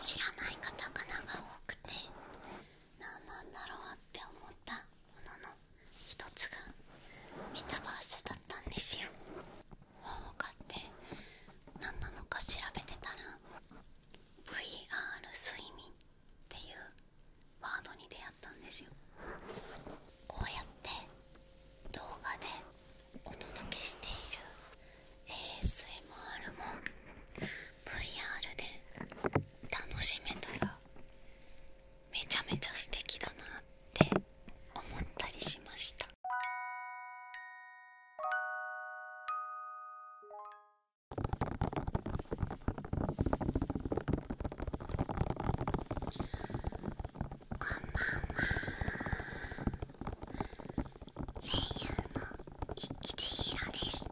知らないカタカナが多くて何なんだろうって思ったものの一つがメタバースだったんですよ本を買って何なのか調べてたら VR 睡眠っていうワードに出会ったんですよこうやって動画でお届けしている ASMR も VR で楽しめたらめちゃめちゃ素敵だなって思ったりしました。こんばんは声優の生きちです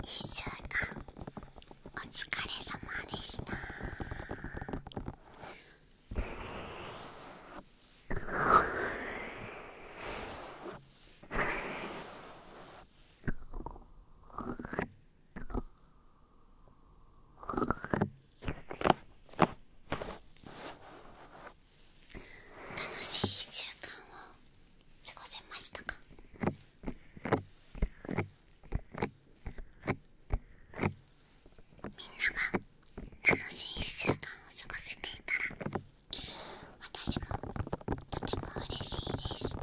1週間お疲れ様でした楽しい1週間を過ごせましたかみんなが楽しい1週間を過ごせていたら私もとても嬉しいです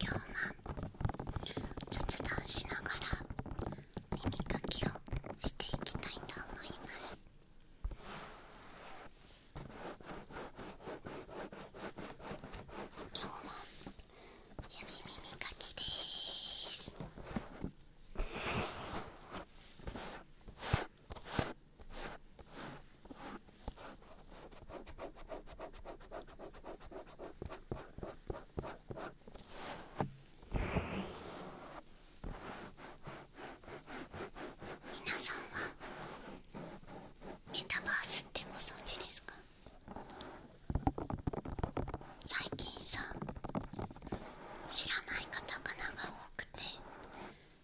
今日は雑談しながら耳かきをしていきたいと思います今日は指耳かきです皆さんはメタバースってご存知ですか最近さ知らない方かな？が多くて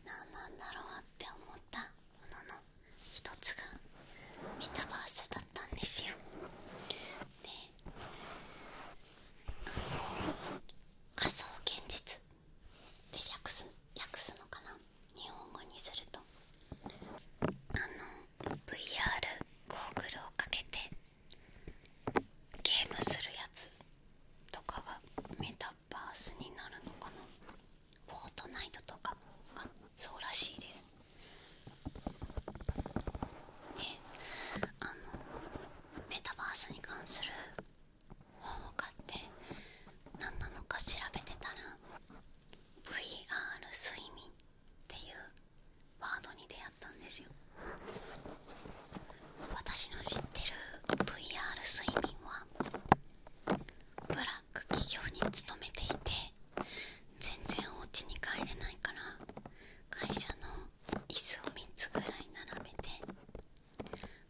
何なんだろうって思ったものの一つがメタバースだったんですよ。で仮想現実で略す訳すのかな日本語にするとあの VR ゴーグルをかけてゲームするやつとかがメタバースになるのかなフォートナイトとかがそうらしいですであのメタバースに関する本を買って何なのか調べてたら VR 睡眠っていうワードに出会ったんですよ私の知ってる VR 睡眠はブラック企業に勤めていて全然お家に帰れないから会社の椅子を3つぐらい並べて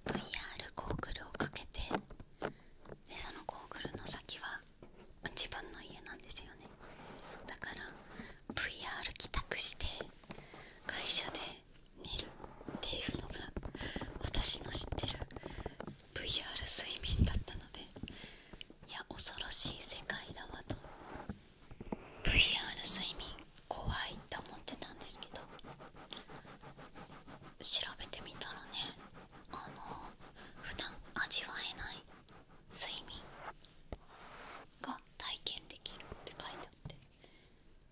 VR ゴーグルをかけてでそのゴーグルの先は自分の家なんですよねだから VR 帰宅して会社で寝るっていうのが私の知ってる VR 睡眠だったのでいや恐ろしい世界だわと VR 睡眠怖いって思ってたんですけど調べてみたらねあの普段味わえない睡眠が体験できるって書いてあって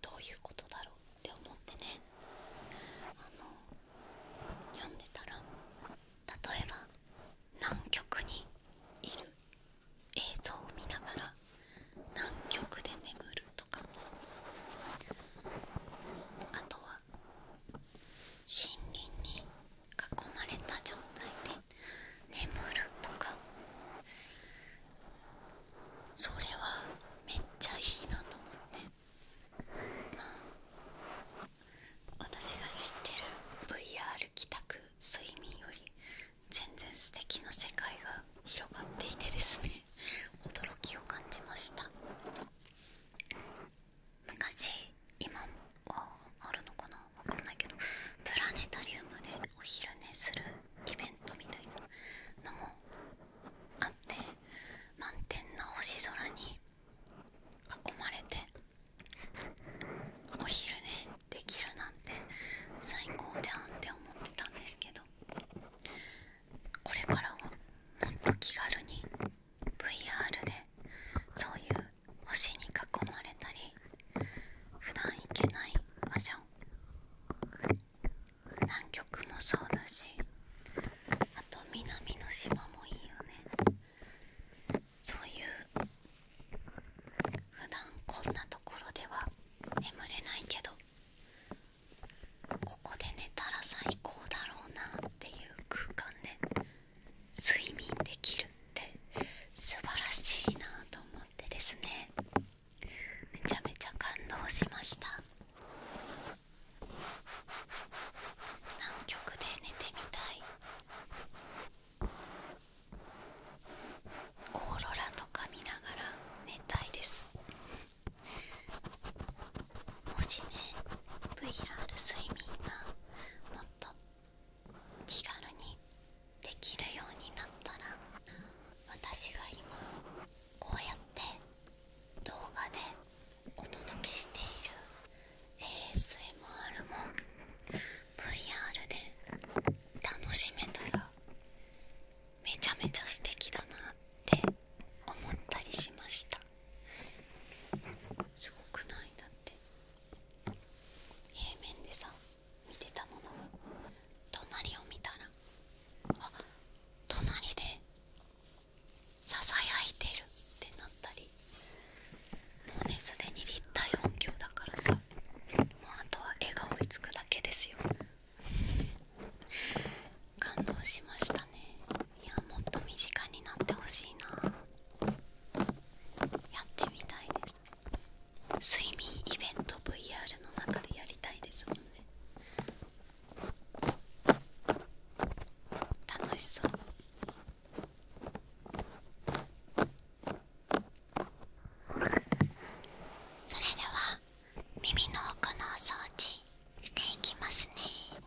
どういうことだろうって思ってねあの読んでたら例えば南極にいる映像を見ながら南極で眠るとかあとは森林に囲まれた状態で眠るとかそれはめっちゃいいなと思ってまあ私が知ってる VR 帰宅睡眠より全然素敵な世界が広がっていてですね 驚きを感じました昔今はあるのかなわかんないけどプラネタリウムでお昼寝するイベントみたいなのもあって満天な星空に囲まれてお昼寝できるなんて最高じゃんって思ってたんですけどこれからはもっと気軽に VR でそういう星に囲まれたり普段行けない場所南極もそうだしあと南の島もいいよねそういう普段こんなところでは眠れないけどここで寝たら最高だろうなっていう空間で睡眠できるって素晴らしいなと思ってですねめちゃめちゃ感動しました南極で寝てみたいオーロラとか見ながら寝たいですもしね VR 睡眠がもっと気軽にできるようになったら私が今こうやって動画でお届けしている ASMR も VR で楽しめたらめちゃめちゃ素敵だなって思ったりしましたすごくないだって平面でさ見てたものが隣を見たらあ隣でささやいてるってなったりもうねすでに立体音響だからさもうあとは絵が追いつくだけですよ 感動しましたねいやもっと身近になってほしいなやってみたいです睡眠イベント VR の中でやりたいですもんね楽しそうそれでは耳の奥のお掃除していきますね耳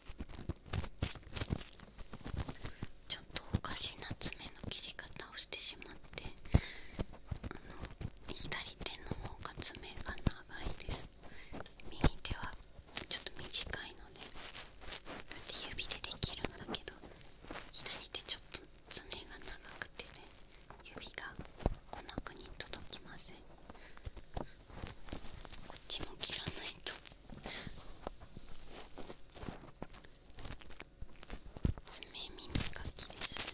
ちょっとおかしな爪の切り方をしてしまって左手の方が爪が長いです右手はちょっと短いのでこうやって指でできるんだけど左手ちょっと爪が長くてね指がこなくに届きませんこっちも切らないと爪耳かきですね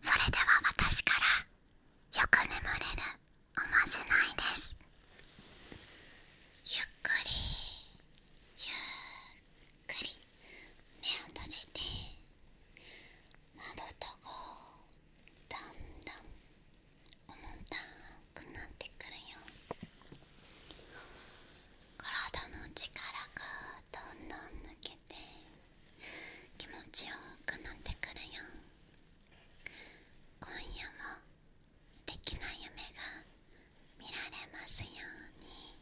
それでは私からよく眠れるおまじないですゆっくりゆっくり目を閉じてまぶたがだんだん重たくなってくるよ体の力がどんどん抜けて気持ちよくなってくるよ今夜も素敵な夢が見られますように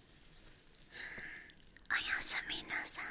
おやすみなさい